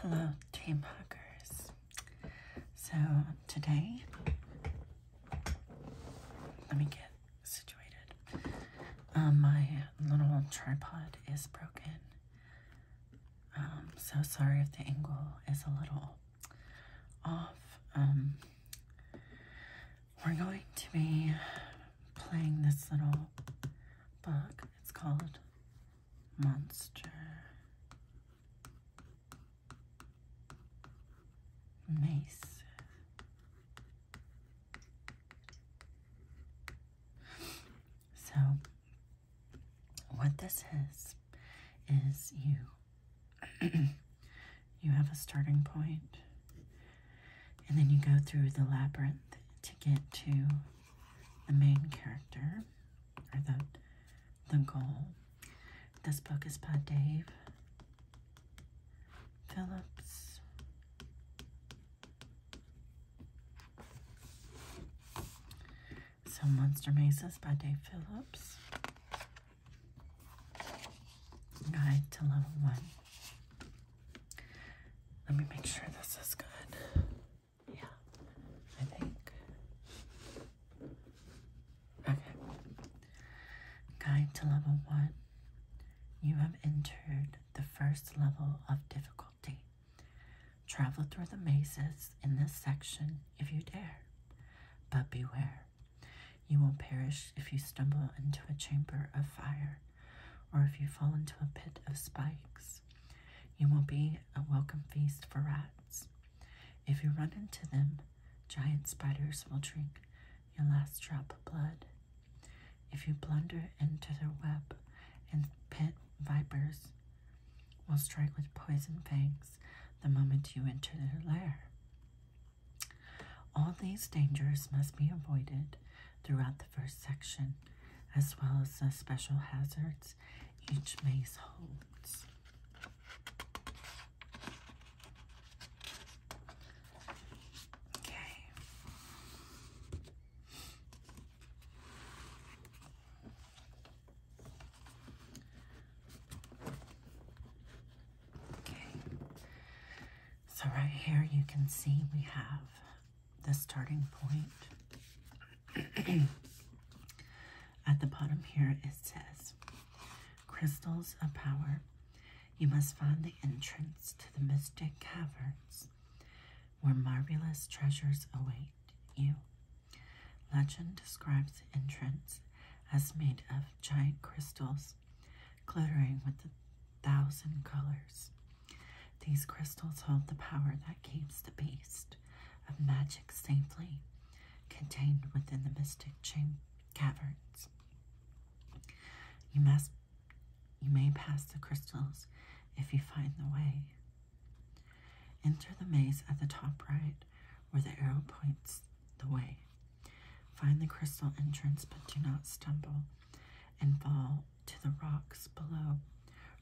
Hello, dream huggers. So today, let me get situated. Um, my little tripod is broken. Um, so sorry if the angle is a little off. Um, we're going to be playing this little book. It's called Monster Mace. So, what this is, is you you have a starting point, and then you go through the labyrinth to get to the main character or the the goal. This book is by Dave Phillips. So Monster Mesas by Dave Phillips. Guide to level one. Let me make sure this is good. Yeah, I think. Okay. Guide to level one. You have entered the first level of difficulty. Travel through the mazes in this section if you dare, but beware. You will not perish if you stumble into a chamber of fire or if you fall into a pit of spikes. You will be a welcome feast for rats. If you run into them, giant spiders will drink your last drop of blood. If you blunder into their web, and pit vipers will strike with poison fangs the moment you enter their lair. All these dangers must be avoided throughout the first section, as well as the special hazards each maze holds. Okay. Okay. So right here you can see we have the starting point. At the bottom here, it says Crystals of Power. You must find the entrance to the mystic caverns where marvelous treasures await you. Legend describes the entrance as made of giant crystals glittering with a thousand colors. These crystals hold the power that keeps the beast of magic safely contained within the mystic caverns. You must you may pass the crystals if you find the way. Enter the maze at the top right where the arrow points the way. Find the crystal entrance but do not stumble and fall to the rocks below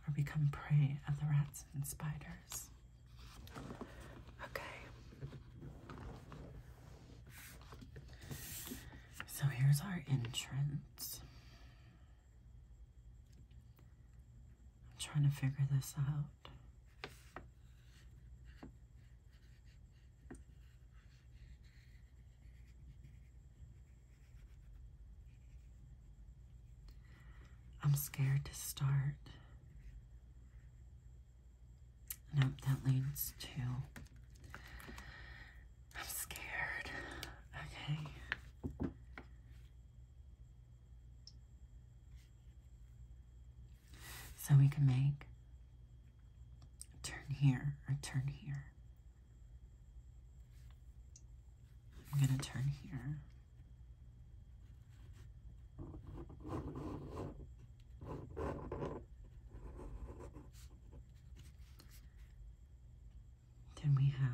or become prey of the rats and spiders. Okay. So here's our entrance. I'm trying to figure this out. I'm scared to start. Nope, that leads to I'm scared. Okay. So we can make turn here or turn here. I'm going to turn here. Then we have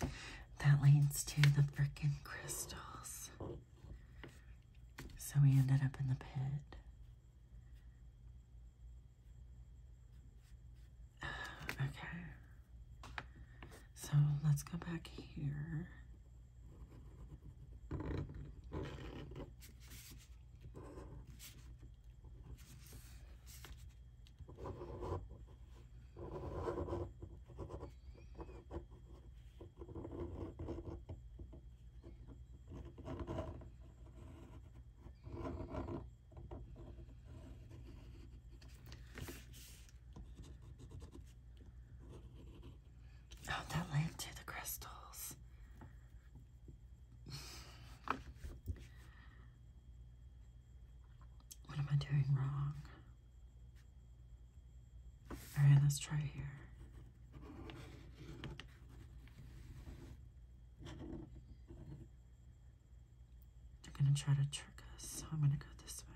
that leads to the frickin' crystals. So we ended up in the pit. Okay. So let's go back here. Oh, that led to the crystals. What am I doing wrong? All right, let's try here. They're gonna try to trick us, so I'm gonna go this way.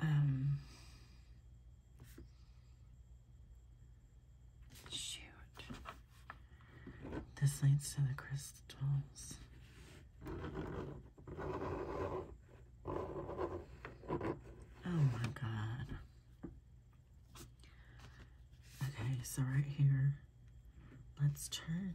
Um, shoot. This leads to the crystals. Oh my god. Okay, so right here, let's turn.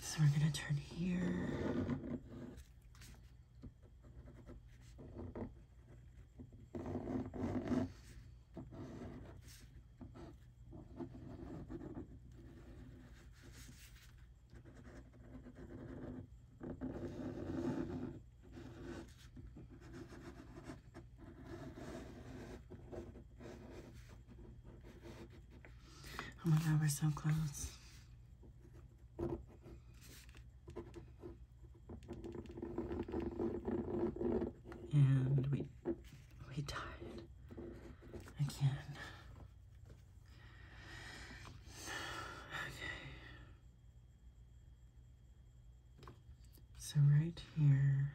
so we're going to turn here. Oh my god, we're so close. And we we died again. Okay. So right here,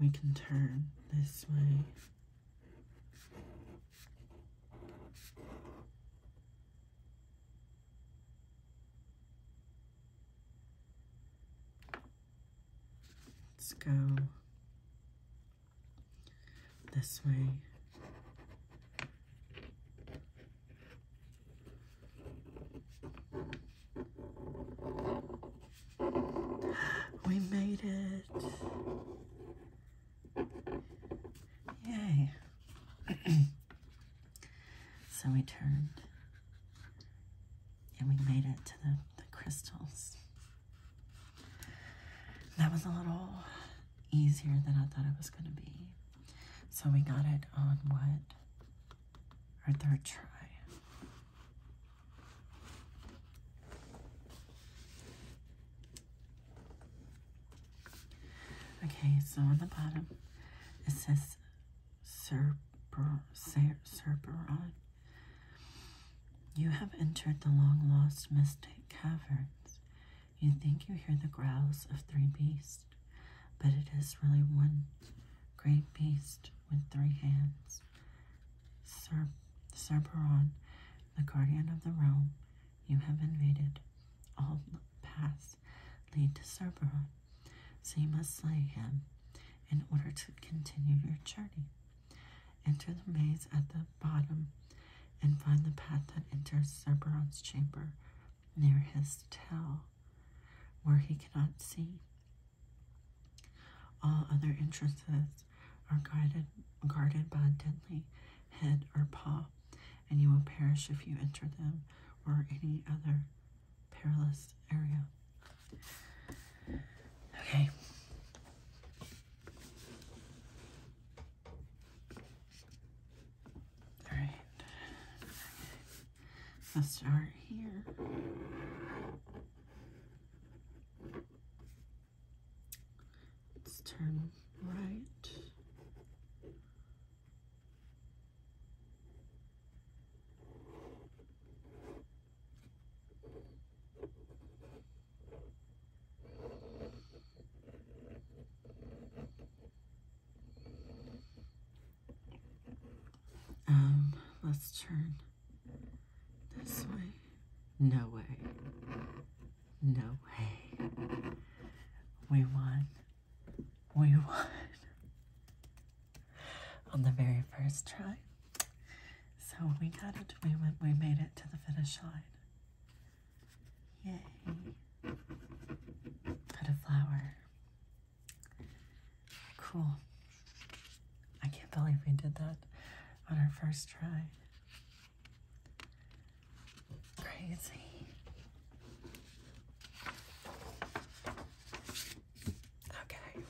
we can turn this way. Let's go this way. We made it. Yay. so we turned and we made it to the, the crystals. That was a little easier than I thought it was going to be. So we got it on what? Our third try. Okay, so on the bottom it says "Serperon, you have entered the long lost mystic caverns. You think you hear the growls of three beasts, but it is really one great beast with three hands. Sir Serperon, the guardian of the realm you have invaded. All paths lead to Serperon, so you must slay him in order to continue your journey. Enter the maze at the bottom and find the path that enters Cerberon's chamber near his tail, where he cannot see. All other entrances are guided, guarded by a deadly head or paw, and you will perish if you enter them or any other perilous area. Okay. All right. Let's start here. Let's turn right. Um, let's turn this way. No way. No way. We won. We won. On the very first try. So we got it. We went we made it to the finish line. Yay. Put a flower Cool. I can't believe we did that on our first try. Crazy. Okay.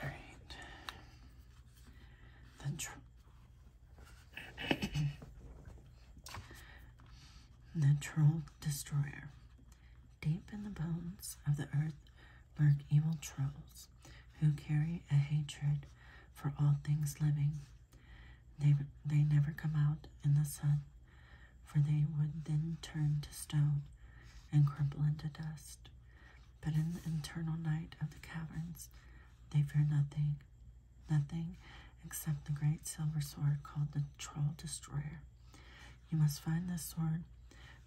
All right. The the Troll Destroyer. Deep in the bones of the earth lurk evil trolls who carry a hatred for all things living. They, they never come out in the sun, for they would then turn to stone and crumble into dust. But in the eternal night of the caverns, they fear nothing nothing except the great silver sword called the Troll Destroyer. You must find this sword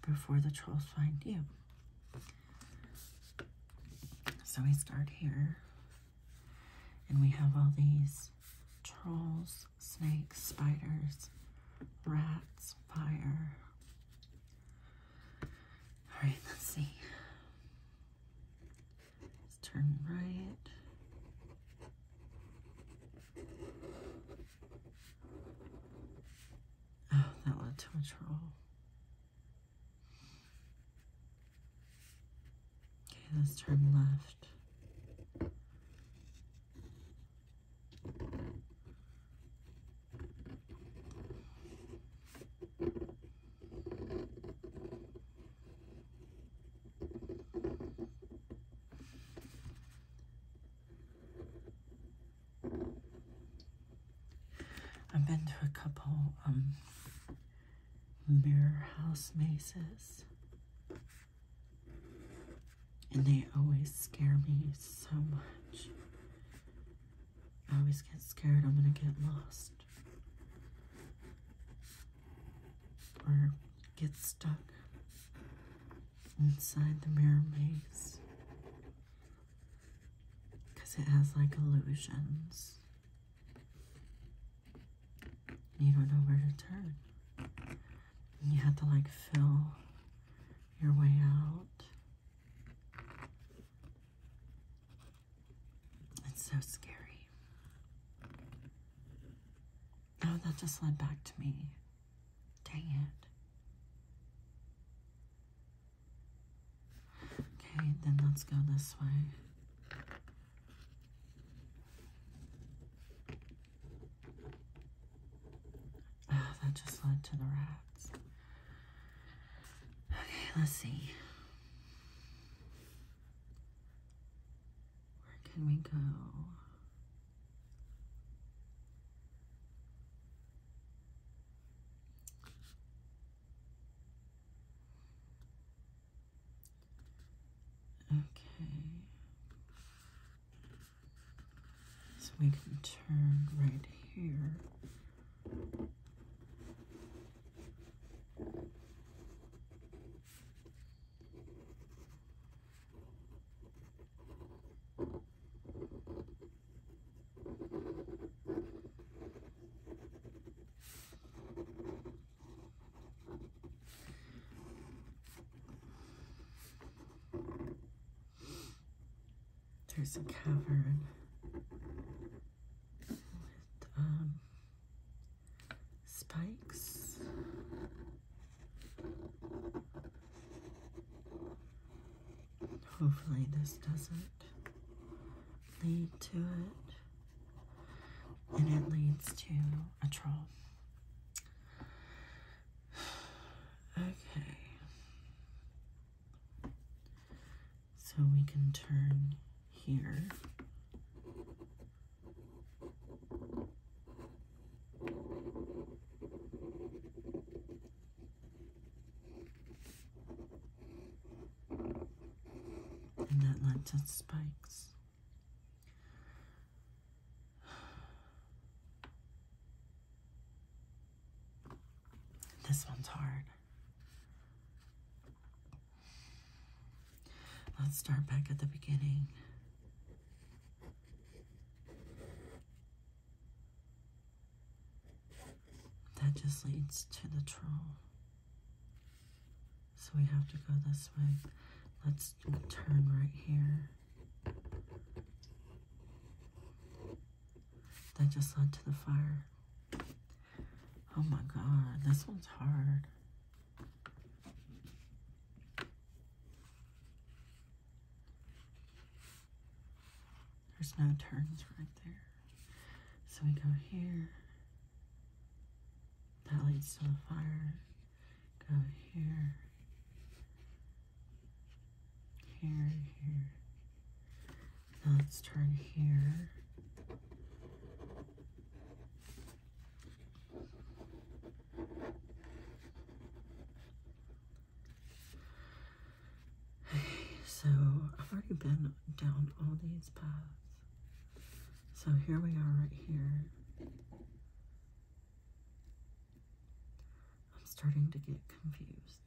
before the trolls find you. So we start here, and we have all these trolls, snakes, spiders, rats, fire. All right, let's see. Let's turn right. Oh, that led to a troll. Okay, let's turn left. I've been to a couple um, mirror house mazes, and they always scare me so much. I always get scared I'm going to get lost or get stuck inside the mirror maze because it has like illusions. You don't know where to turn. you have to like fill your way out. It's so scary. Oh, that just led back to me. Dang it. Okay, then let's go this way. Oh, that just led to the rats. Okay, let's see. Where can we go? Okay. So we can turn right here. There's a cavern um, spikes. Hopefully, this doesn't lead to it. And it leads to a troll. Okay. So we can turn here. And that led spikes. This one's hard. Let's start back at the beginning. That just leads to the troll. So we have to go this way. Let's turn right here. That just led to the fire. Oh my god, this one's hard. There's no turns right there. So we go here. That leads to the fire. Go here. Here, here. Now let's turn here. So I've already been down all these paths. So here we are right here. I'm starting to get confused.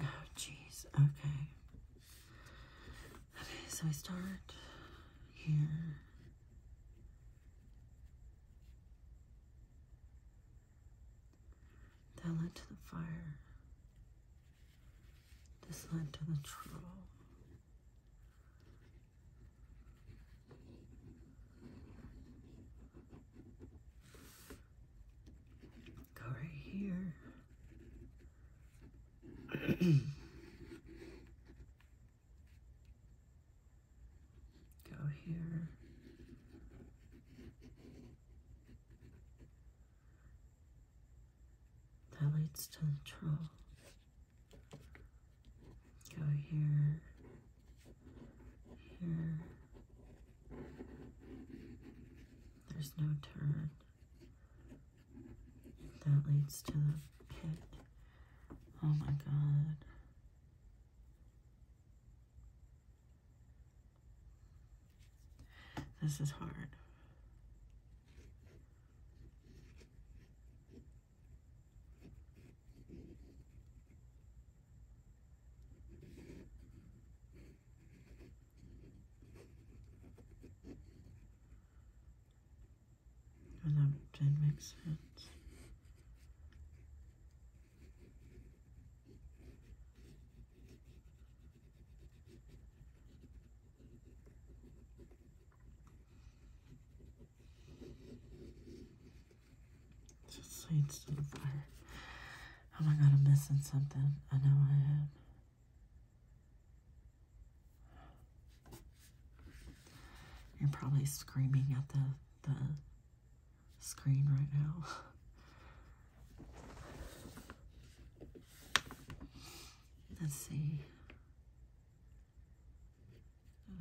Oh, jeez. Okay. Okay, so I start here. That led to the fire. This led to the troll. Go right here. Go here. That leads to the troll. Go here. Here. There's no turn. That leads to the pit. Oh my god. This is hard and I'm doing makes sense. Just seeds to the fire. Oh my god, I'm missing something. I know I am. You're probably screaming at the, the screen right now. Let's see.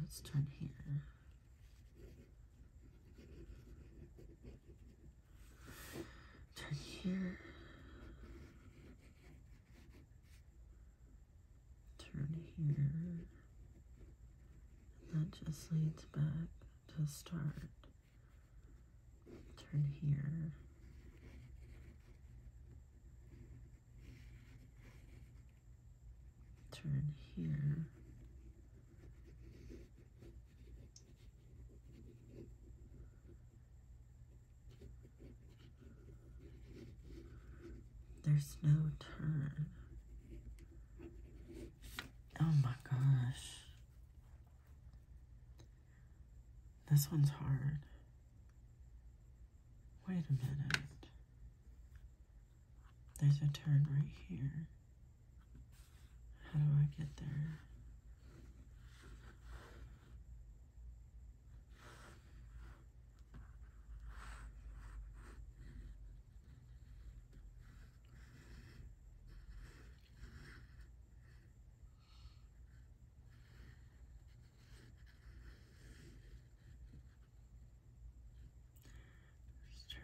Let's turn here. Turn here turn here. And that just leads back to start. Turn here. Turn here. There's no turn. Oh my gosh. This one's hard. Wait a minute. There's a turn right here. How do I get there?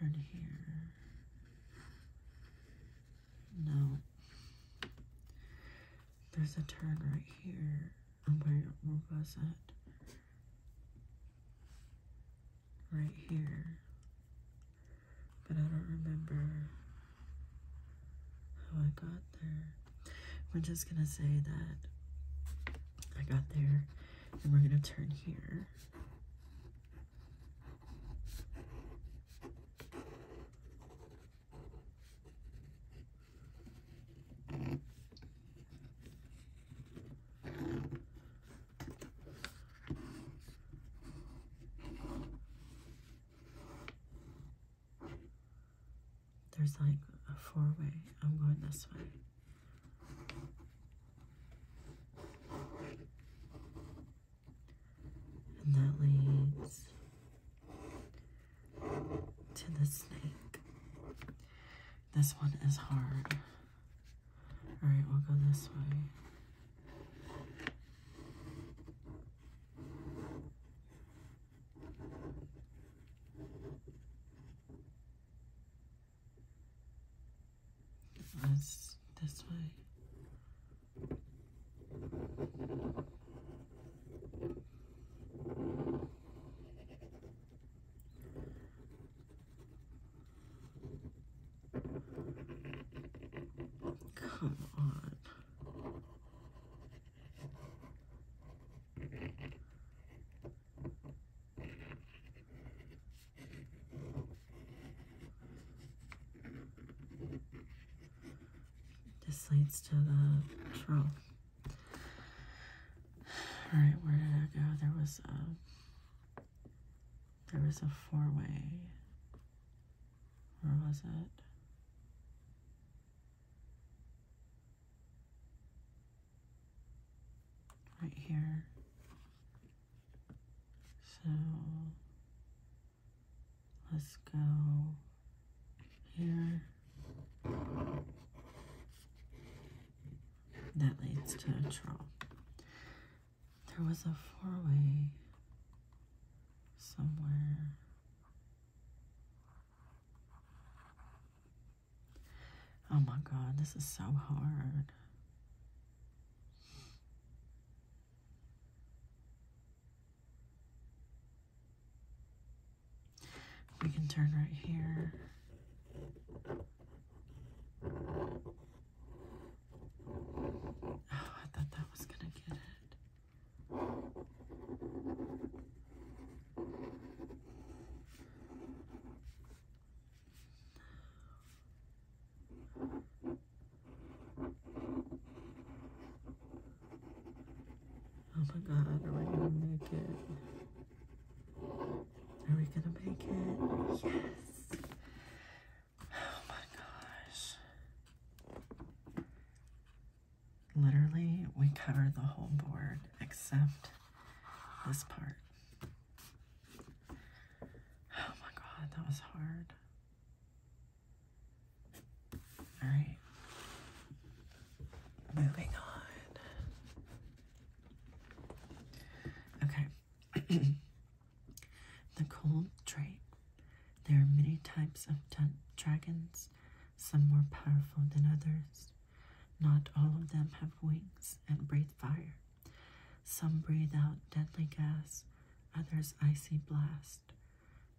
let turn here. No. There's a turn right here. I'm going to, where was it? Right here. But I don't remember how I got there. We're just going to say that I got there and we're going to turn here. There's like a four way. I'm going this way. And that leads to the snake. This one is hard. Alright, we'll go this way. That's this way. Come on. This leads to the trough. All right, where did I go? There was a there was a four-way. Where was it? Right here. So let's go here. That leads to a draw. There was a four-way somewhere. Oh my god, this is so hard. We can turn right here. Oh, I thought that was going to get it. Oh my god, are we gonna make it? Are we gonna make it? Yes! Oh my gosh. Literally, we covered the whole board except this part. Oh my god, that was hard. Alright, Moving on. Okay. the cold trait. There are many types of dragons, some more powerful than others. Not all of them have wings and breathe fire. Some breathe out deadly gas, others icy blast.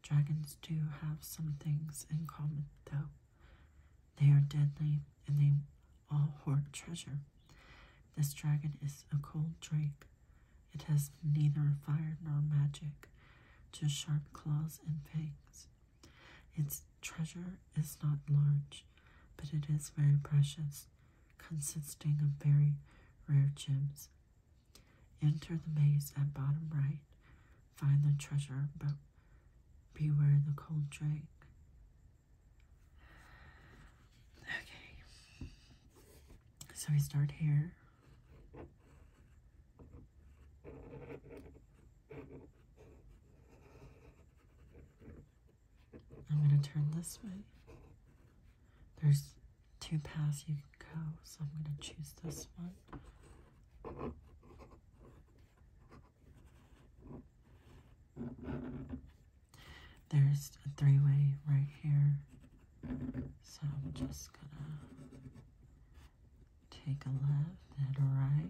Dragons do have some things in common, though. They are deadly and they all hoard treasure. This dragon is a cold drake. It has neither fire nor magic, just sharp claws and fangs. Its treasure is not large, but it is very precious, consisting of very rare gems. Enter the maze at bottom right, find the treasure, but Beware the cold drink. Okay. So we start here. I'm going to turn this way. There's two paths you can go, so I'm going to choose this one. There's a three-way right here. So I'm just gonna take a left and a right.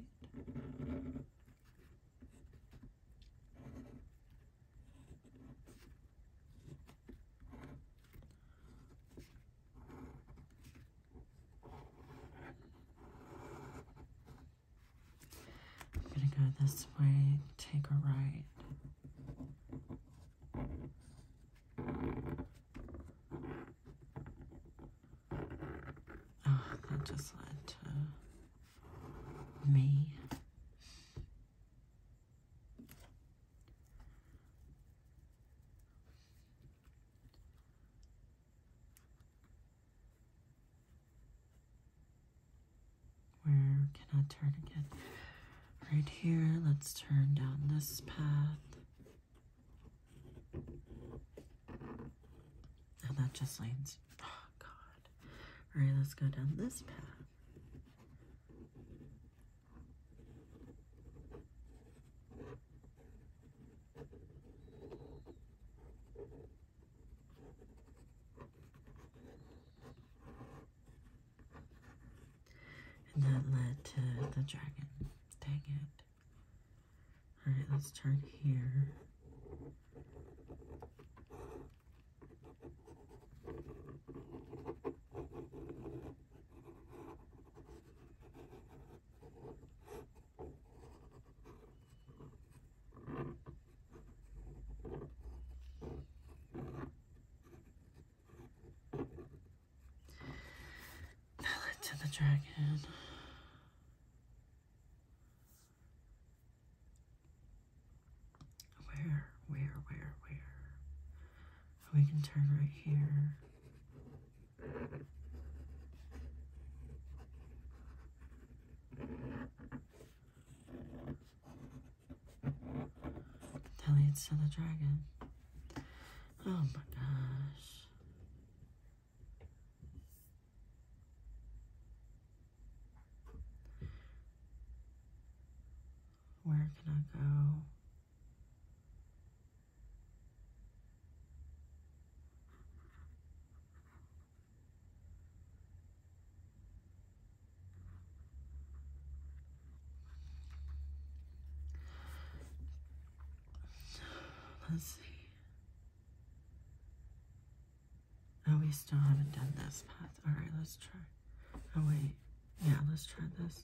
I'm gonna go this way, take a right. Ah, that just led to me. Where can I turn again? Right here, let's turn down this path. And that just leads. Oh, God. Alright, let's go down this path. And that led to the dragon. Dang it. Alright, let's turn here. Ballad to the Dragon. Where, where, where, where? We can turn right here. That it to the dragon. Oh my gosh. Where can I go? Let's see. Oh, we still haven't done this path. All right, let's try. Oh, wait. Yeah, let's try this.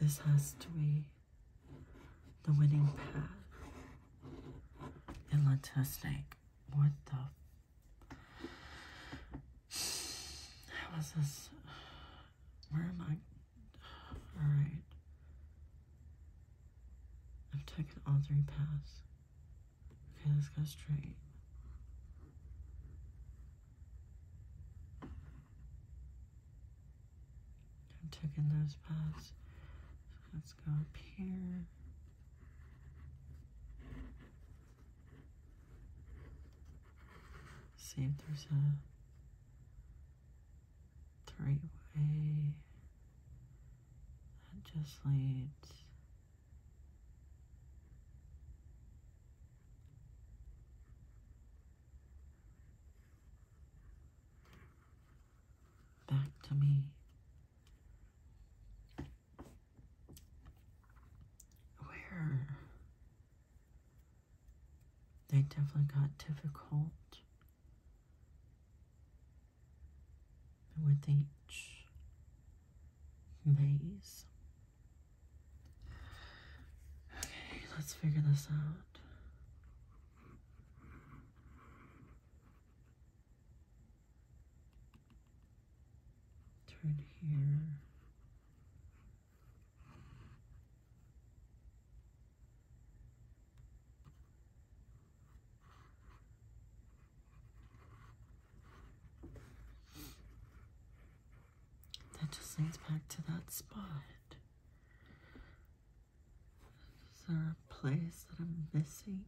This has to be the winning path. It led to a snake. What the? How is this? Where am I? Alright. I've taken all three paths. Okay, let's go straight. I'm taking those paths. let's go up here. See if there's a three-way that just leads back to me. Where? They definitely got difficult with each maze. Okay, let's figure this out. Turn here. That just leads back to that spot. Is there a place that I'm missing?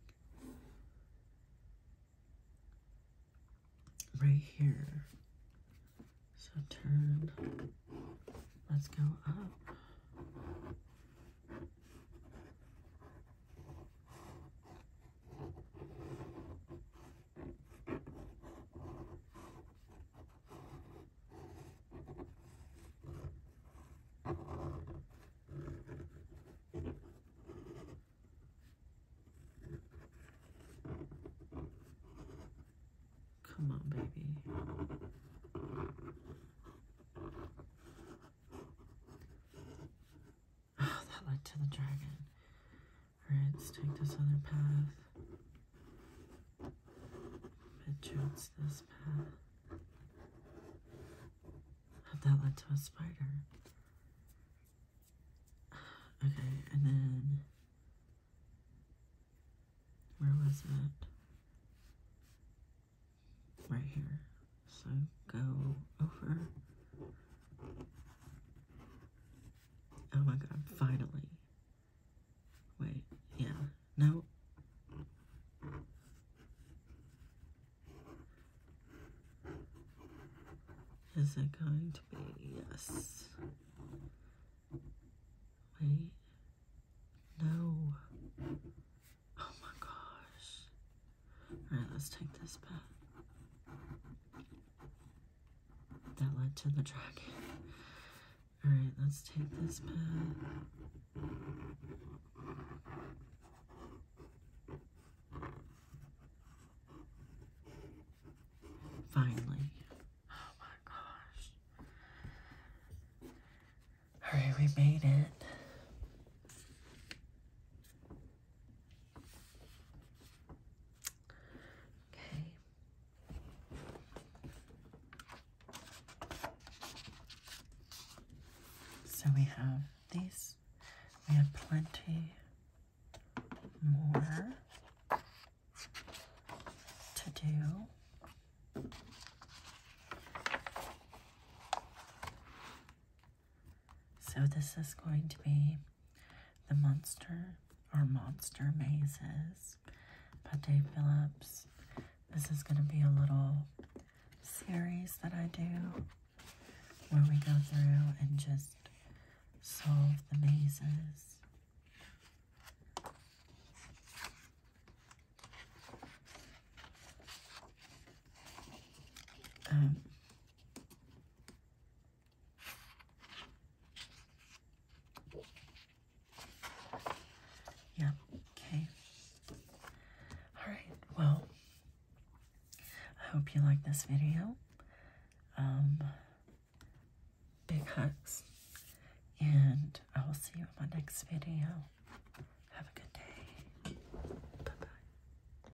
Right here. So turn. Let's go up. Come on, baby. Oh, that led to the dragon. Alright, let's take this other path. Picture it's this path. that led to a spider. Okay, and then where was it? Right here. So go over. Oh my god, finally. Wait, yeah, no. Is it going to be? Yes. Wait. No. Oh my gosh. All right, let's take this path. That led to the dragon. All right, let's take this path. Finally. Oh my gosh. All right, we made it. Okay. So we have these. We have plenty more to do. So this is going to be the monster or monster mazes by Dave Phillips. This is going to be a little series that I do where we go through and just solve the mazes. Um, yeah, okay. Alright, well, I hope you like this video. Um, big hugs, and I will see you in my next video. Have a good day. Bye bye.